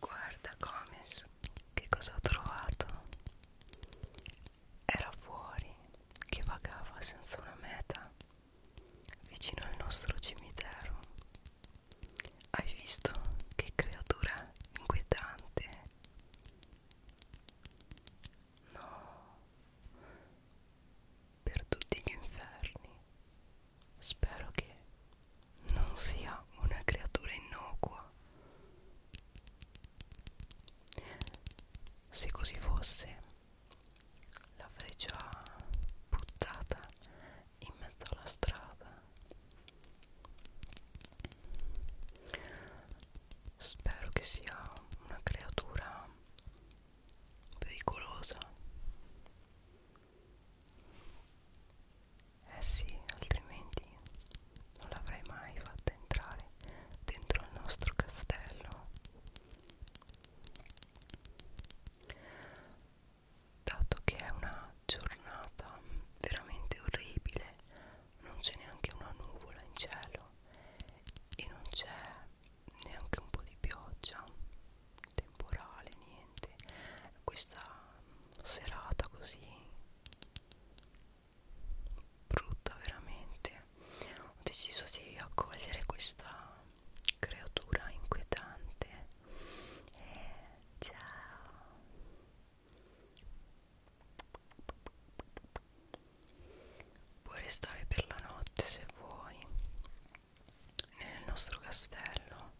Guarda Comis, che cosa ho trovato? Era fuori che vagava senza una meta vicino al nostro cimitero. Hai visto che creatura inquietante? No, per tutti gli inferni. Spero che non sia una creatura innocua. Se così fosse, l'avrei già buttata in mezzo alla strada spero che sia una creatura pericolosa eh sì altrimenti non l'avrei mai fatta entrare dentro il nostro castello dato che è una giornata veramente orribile non c'è neanche una nuvola in cielo e non c'è neanche un po' di pioggia temporale niente questa serata così brutta veramente ho deciso di accogliere questa creatura inquietante eh, ciao puoi restare per la notte se vuoi nel nostro castello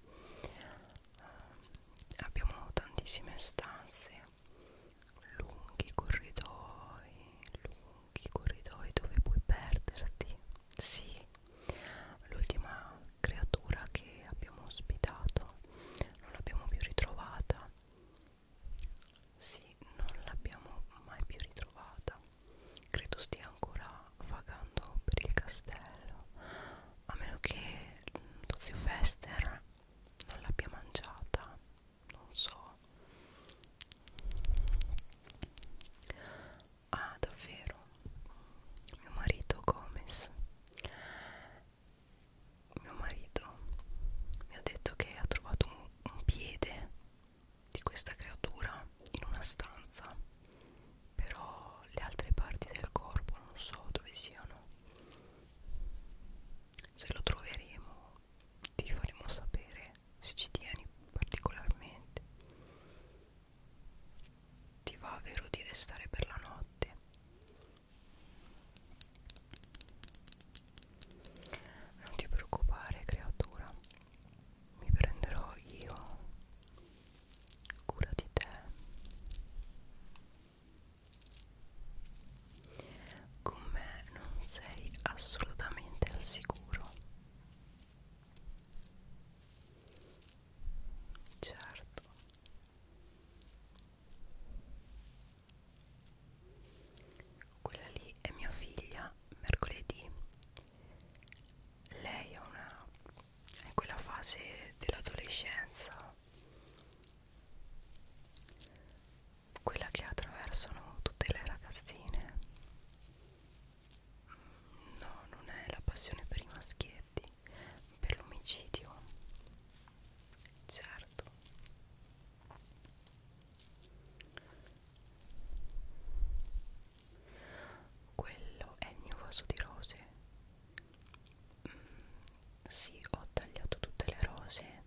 eh, abbiamo tantissime stanze lunghi corridoi lunghi lunghi corridoi dove puoi perderti. Sì, l'ultima creatura che abbiamo ospitato non l'abbiamo più ritrovata. Sì, non l'abbiamo mai più ritrovata. Credo stia ancora vagando per il castello. A meno che Tozio Fester non l'abbia mangiata. Non so, Ah, davvero? Mio marito Gomez. Mio marito mi ha detto che ha trovato un, un piede di questa creatura in una stanza, però le altre parti del corpo non so dove siano. Se lo troveremo ti faremo sapere se ci tieni particolarmente ti va vero di restare per la notte non ti preoccupare creatura mi prenderò io cura di te con me non sei assolutamente al sicuro certo quella lì è mia figlia mercoledì lei è una è in quella fase dell'adolescenza quella che attraversano tutte le ragazzine No, non è la passione per i maschietti, per l'omicidio. Certo. Quello è il mio vaso di rose. Mm, sì, ho tagliato tutte le rose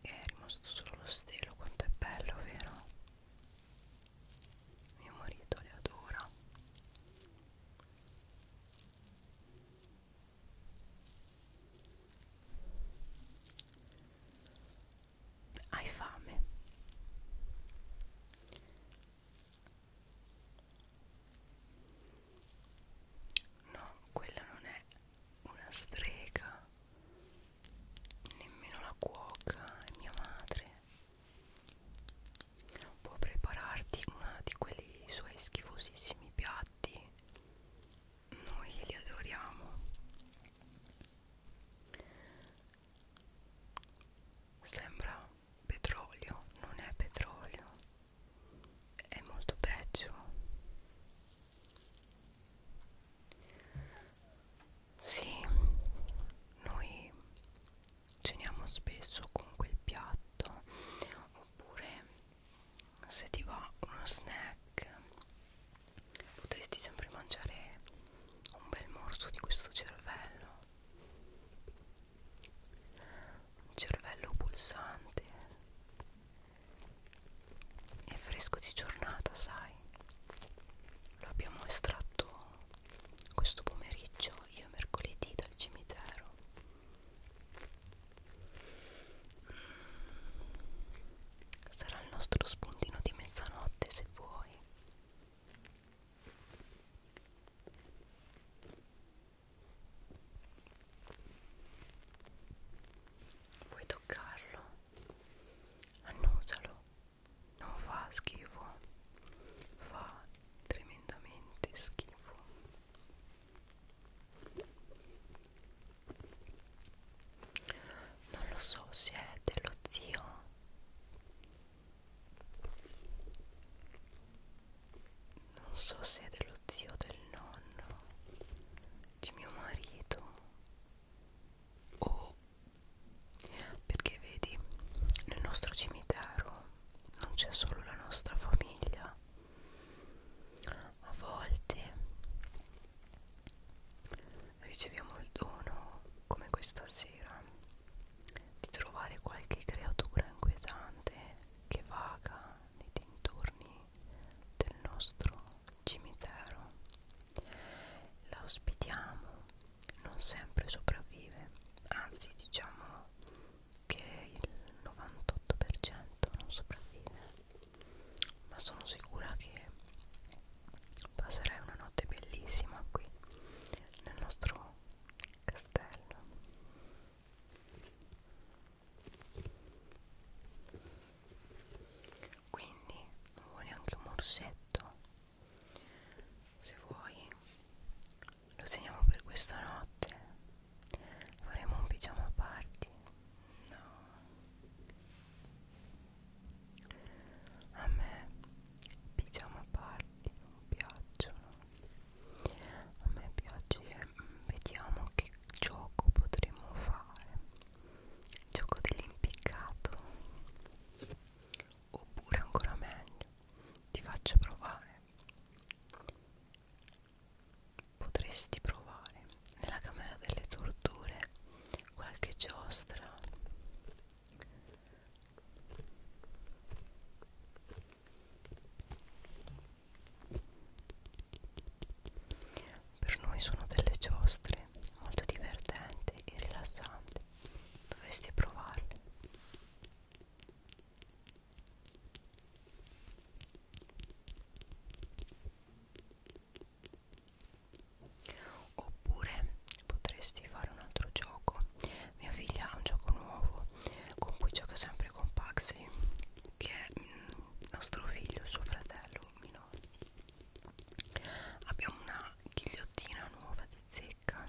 e è rimasto solo lo stelo, quanto è bello, vero? mio marito le adora hai fame no quella non è una strega nemmeno la cuoca è mia madre può prepararti una di quei suoi schifosissimi piatti noi li adoriamo sembra petrolio non è petrolio è molto peggio sì, noi ceniamo spesso con quel piatto oppure se ti va uno snack potresti sempre mangiare un bel morso di questo cervello un cervello pulsante e fresco di giornata sai lo abbiamo estratto questo pomeriggio io mercoledì dal cimitero mm. sarà il nostro spuntino di mezzanotte se vuoi Vuoi toccarlo? Annusalo non fa schifo fa tremendamente schifo non lo so se è dello zio non so se è dello zio del nonno di mio marito o perché vedi nel nostro cimitero non c'è solo la nostra famiglia a volte riceviamo il dono come questa sera di trovare qualche creatura inquietante che vaga nei dintorni del nostro cimitero. La ospitiamo, non sempre sopravvive, anzi diciamo che il 98% non sopravvive, ma sono sicura che passerai una notte bellissima qui nel nostro castello. Quindi vuole anche un morsetto se vuoi lo teniamo per questa notte faremo un pigiama party no a me pigiama party non piacciono a me piace vediamo che gioco potremmo fare gioco dell'impiccato oppure ancora meglio ti faccio provare potresti provare nella camera delle torture qualche giostra per noi sono delle giostre piacere, molto divertente e rilassante. Dovresti provarle. Oppure potresti fare un altro gioco. Mia figlia ha un gioco nuovo con cui gioca sempre con Paxi, che è mm, nostro figlio, suo fratello minore abbiamo una ghigliottina nuova di zecca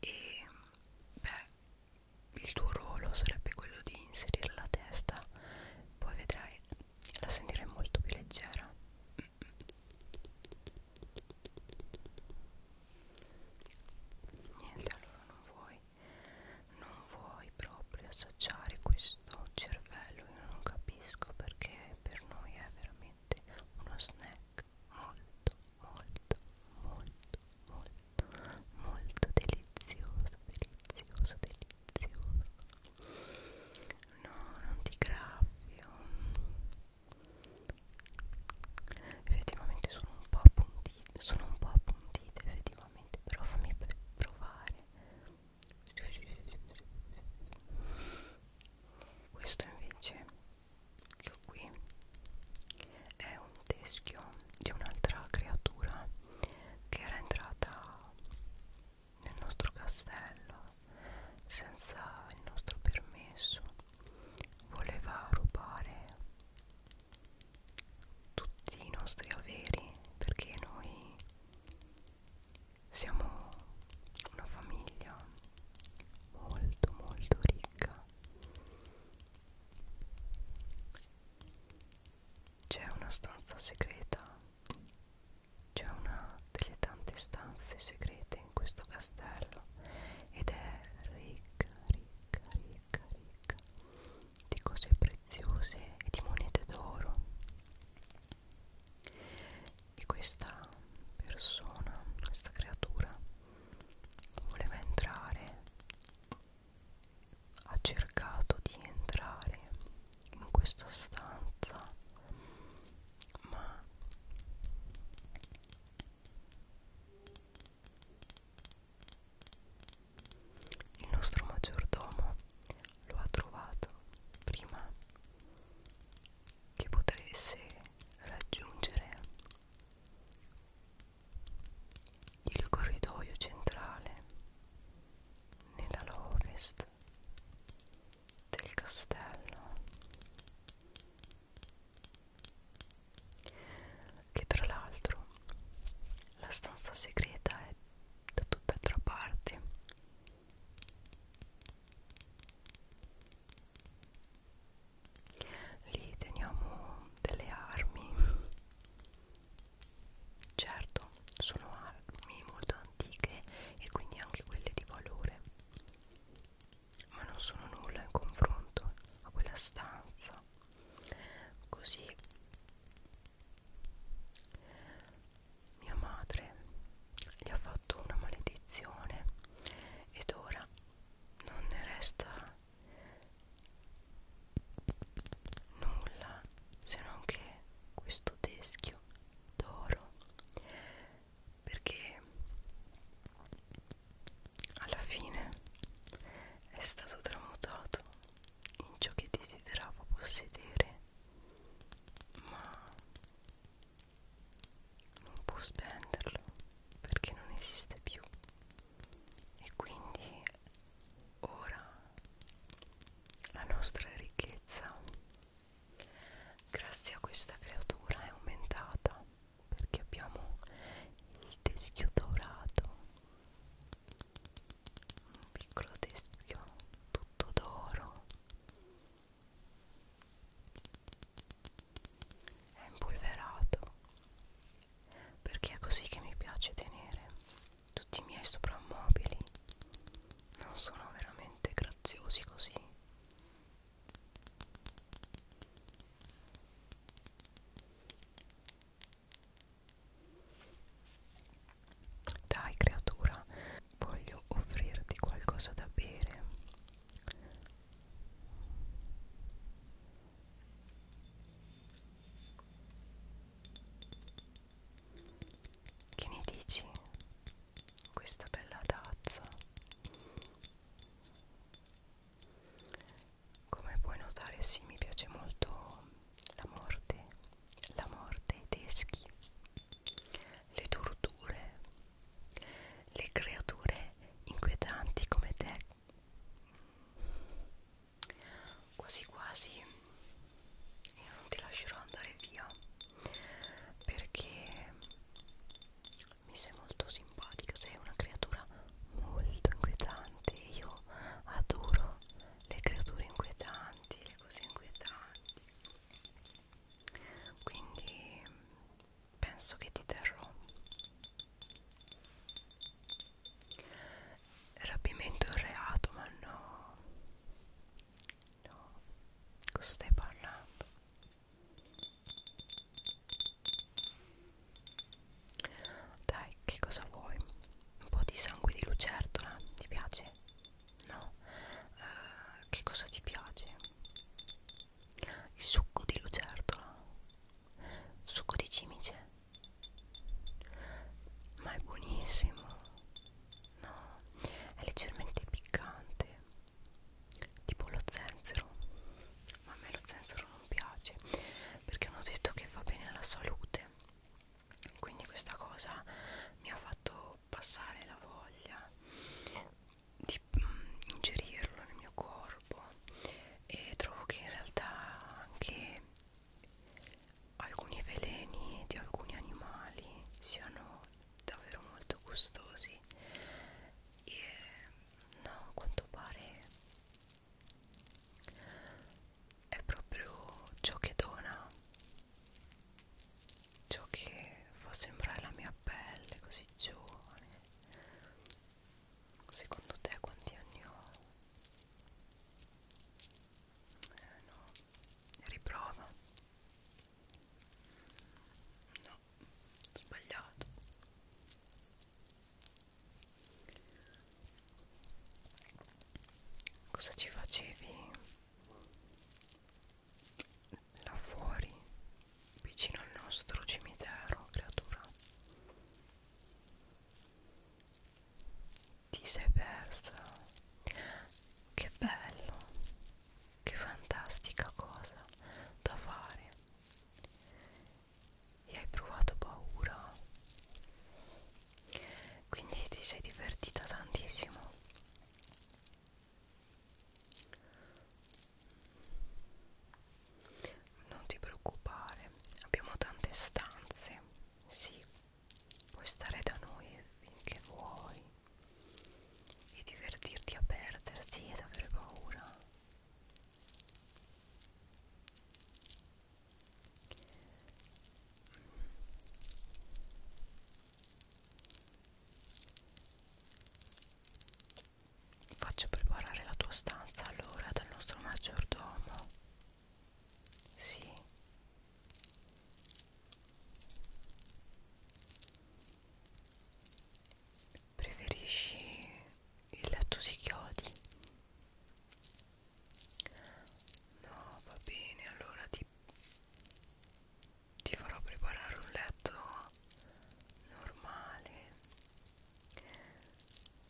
e beh il tuo ruolo sarebbe quello di inserire la testa poi vedrai la sentirai molto più leggera niente allora non vuoi non vuoi proprio assaggiare questo cervello io non capisco perché per noi è veramente uno snack molto molto molto molto molto delizioso delizioso delizioso no non ti graffio effettivamente sono un po' appunto appuntite sono un po' appuntite effettivamente però fammi provare questo invece che ho qui è un teschio di un'altra creatura che era entrata nel nostro castello senza il nostro permesso voleva rubare tutti i nostri averi perché noi siamo una famiglia molto molto ricca c'è una stanza segreta c'è una delle tante stanze segrete in questo castello ed è ricca ricca ricca ricca, ricca di cose preziose e di monete d'oro. E questa persona, questa creatura, voleva entrare, ha cercato di entrare in questa stanza, ma il nostro maggiordomo lo ha trovato prima che potesse raggiungere il corridoio centrale nell'ala ovest del castello che tra l'altro la stanza segreta è da tutt'altra parte lì teniamo delle armi certo sono armi molto antiche e quindi anche quelle di valore ma non sono nulla in confronto a quella stanza fa così mia madre gli ha fatto una maledizione ed ora non ne resta nulla se non che questo teschio d'oro perché alla fine è stato tramutato in ciò che desideravo possedere, ma non può spenderlo perché non esiste più e quindi ora la nostra ricchezza grazie a questa creatura è aumentata perché abbiamo il teschio dorato un piccolo teschio tutto d'oro è impolverato perché è così che mi piace tenere tutti i miei soprammobili non sono veramente graziosi così dai creatura, voglio offrirti qualcosa da bere. Che ne dici? Questa bella tazza come puoi notare sì mi piace molto la morte la morte i teschi le torture le creature inquietanti come te quasi quasi io non ti lascerò andare via perché mi sei molto simpatica sei una creatura molto inquietante io adoro le creature inquietanti, le cose inquietanti. Quindi penso che ti terrò. Rapimento è un reato, ma no. No. Cosa stai parlando? Dai, che cosa vuoi? Un po' di sangue di lucertola, ti piace? No? Uh, che cosa ti piace? Il succo di lucertola? Succo di cimice? Ma è buonissimo! No, è leggermente piccante, tipo lo zenzero. Ma a me lo zenzero non piace perché hanno detto che fa bene alla salute quindi questa cosa mi ha fatto passare la voglia di mm, ingerirlo nel mio corpo e trovo che in realtà anche alcuni veleni di alcuni animali siano davvero molto gustosi e no, a quanto pare è proprio ciò che dona ciò che fa sembrare la mia pelle così giovane secondo te quanti anni ho? Eh no, riprova no, sbagliato Cosa ci facevi là fuori, vicino al nostro cimitero, creatura? Ti sei persa? Che bello! Che fantastica cosa da fare! e hai provato paura quindi ti sei divertita tantissimo non ti preoccupare abbiamo tante stanze sì puoi stare da noi finché vuoi e divertirti a perderti ed avere paura Faccio preparare la tua stanza allora dal nostro maggiordomo. Sì. Preferisci il letto di chiodi? No, va bene, allora ti, ti farò preparare un letto normale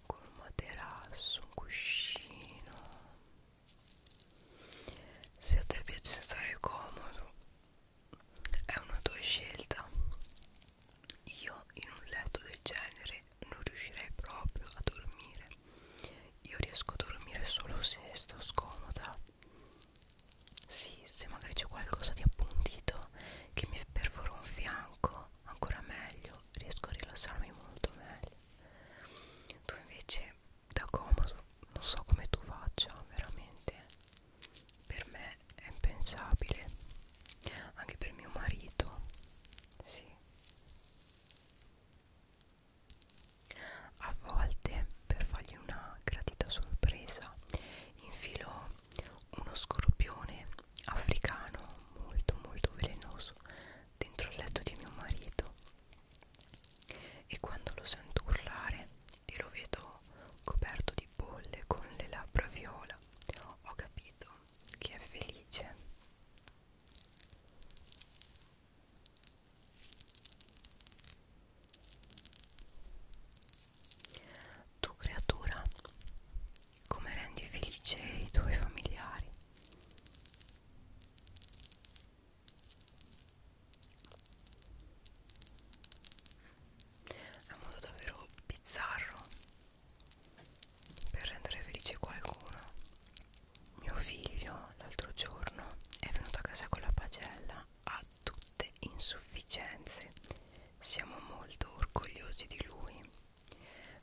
con un materasso, un cuscino. Se a te piace stare comodo, è una tua scelta. Io in un letto del genere non riuscirei proprio a dormire io riesco a dormire solo se sto scomoda sì se magari c'è qualcosa di appuntito che mi perfora un fianco ancora meglio riesco a rilassarmi molto meglio tu invece da comodo non so come tu faccia veramente per me è impensabile anche per mio marito sì a volte, per fargli una gratita sorpresa, infilò uno scorpione africano molto molto velenoso dentro il letto di mio marito e quando lo sento urlare e lo vedo coperto di bolle con le labbra viola ho capito che è felice tu creatura, come rendi felice i tuoi familiari? È un modo davvero bizzarro per rendere felice qualcuno mio figlio l'altro giorno è venuto a casa con la pagella a tutte insufficienze siamo molto orgogliosi di lui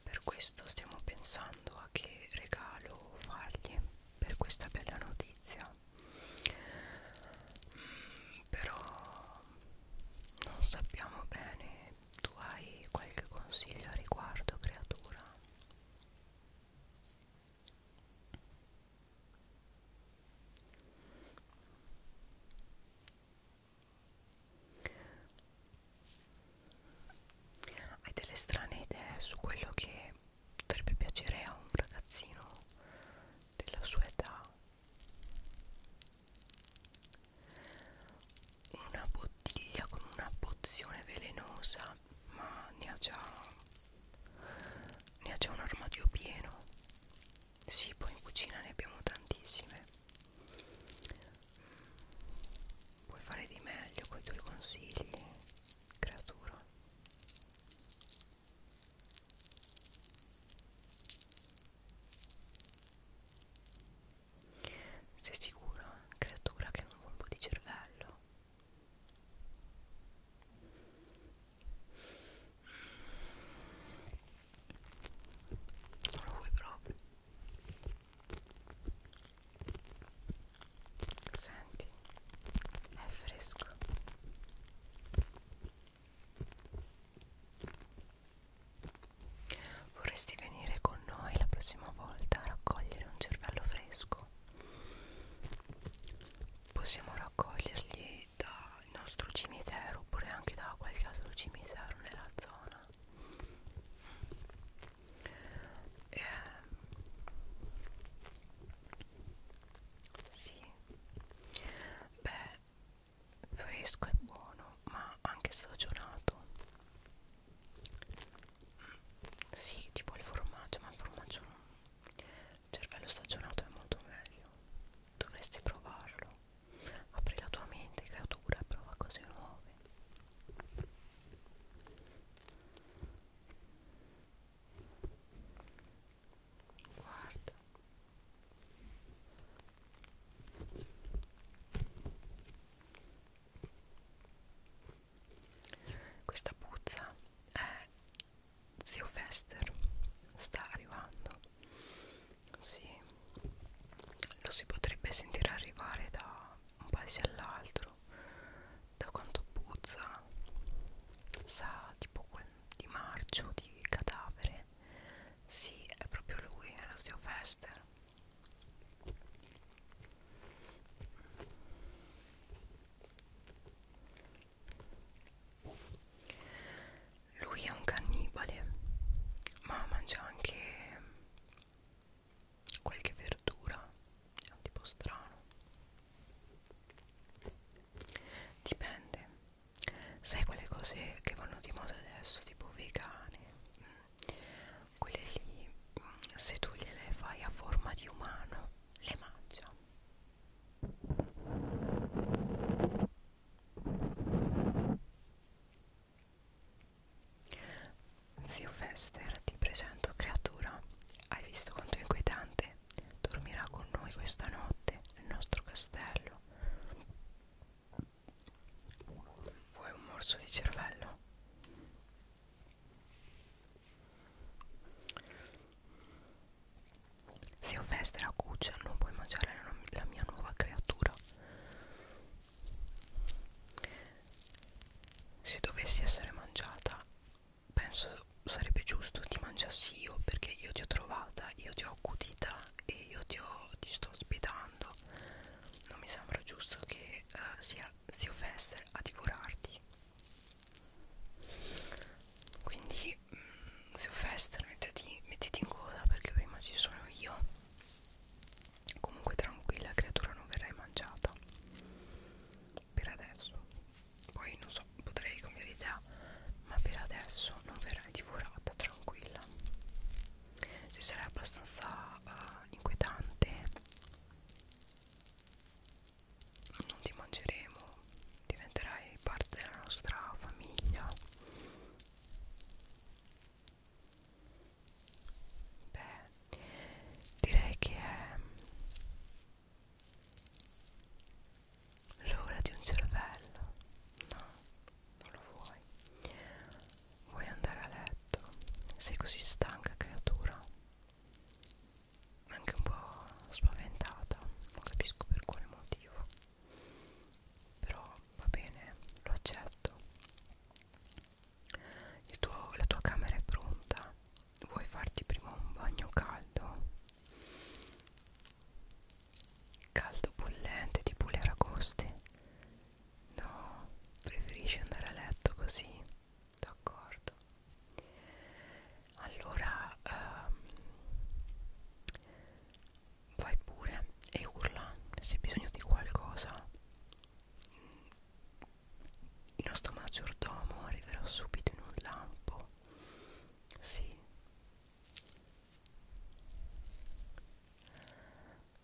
per questo stiamo pensando a che regalo fargli per questa bella notizia mm, però non sappiamo bene tu hai qualche consiglio a riguardo creatura? Hai delle strane idee su quello che potrebbe piacere a un ragazzino della sua età? una bottiglia con una pozione velenosa ma ne ha già ne ha già un armadio pieno sì poi in cucina ne abbiamo tantissime mm, puoi fare di meglio con i tuoi consigli creatura sei sicura, creatura, che è un colpo di cervello? Non lo vuoi proprio. Senti, è fresco. Vorresti venire con noi la prossima volta a raccogliere un cervello fresco? Possiamo raccoglierli dal nostro cimitero oppure anche da qualche altro cimitero nella zona. Eh, sì, beh, fresco e buono, ma anche stagionato. Sì, tipo il formaggio, ma il formaggio il cervello stagionato è molto meglio. Dovresti provarlo. Apri la tua mente, creatura, e prova cose nuove. Guarda. Questa puzza è zio Fester, sta arrivando. Sì, lo si potrebbe sentire arrivare da un paese all'altro, da quanto puzza, sa tipo quel di marcio, di cadavere. Sì, è proprio lui, è lo zio Fester. Lui è un cannibale, ma mangia anche qualche verdura, è un tipo strano. Dipende. Sai quelle cose che vanno di moda adesso, tipo vegane, mm quelle lì mm, se tu gliele fai a forma di umano le mangia Zio Fester ti presento creatura hai visto quanto è inquietante dormirà con noi questa notte nel nostro castello Vuoi un morso di cervello? Se ho festa la cuccia non puoi mangiare la, la mia nuova creatura. Se dovessi essere mangiata, penso sarebbe giusto ti mangiassi io perché io ti ho trovata, io ti ho accudita e io ti, ho, ti sto ospitando. Non mi sembra giusto che che uh, sia zio Fester a divorarti quindi mh, mm, zio Fester mettiti, mettiti in coda perché prima ci sono io comunque tranquilla creatura non verrai mangiata per adesso poi non so potrei cambiare idea ma per adesso non verrai divorata tranquilla si sarà abbastanza uh, inquietante non ti mangeremo diventerai parte della nostra famiglia beh direi che è l'ora di un cervello no non lo vuoi Vuoi andare a letto? Sei così stanca, creatura? Anche un po' spaventata, non capisco per quale motivo. Però va bene, lo accetto. Tuo, la tua camera è pronta. Vuoi farti prima un bagno caldo? Caldo bollente tipo le aragoste? No, preferisci andare a letto così, d'accordo. Allora ehm, vai pure e urla se hai bisogno di qualcosa. Il nostro maggiordomo arriverà subito in un lampo. Sì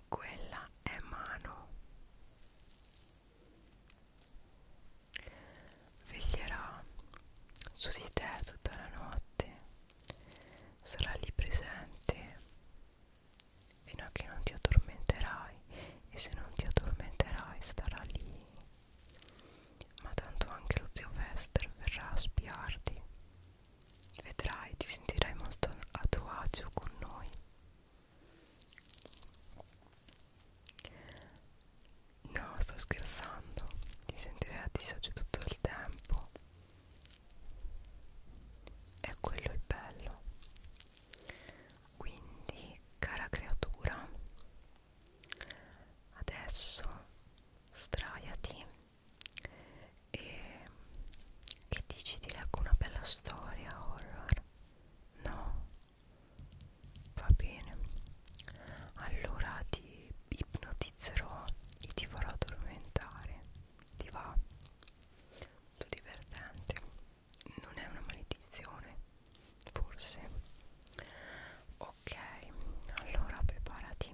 quella è mano veglierà su di te tutta la notte sarà lì presente fino a che non ti addormenterai e se non ti addormenterai starà lì ma tanto anche lo zio Wester verrà a spiarti vedrai ti sentirai molto a tuo agio con noi No, sto scherzando. Ti sentirei a disagio tutto il tempo. E quello il bello. Quindi, cara creatura, adesso straiati e che dici di leggo una bella storia horror? No? Va bene. Allora ti ipnotizzerò e ti farò addormentare. Ti va? Molto divertente. Non è una maledizione, forse. Ok, allora preparati.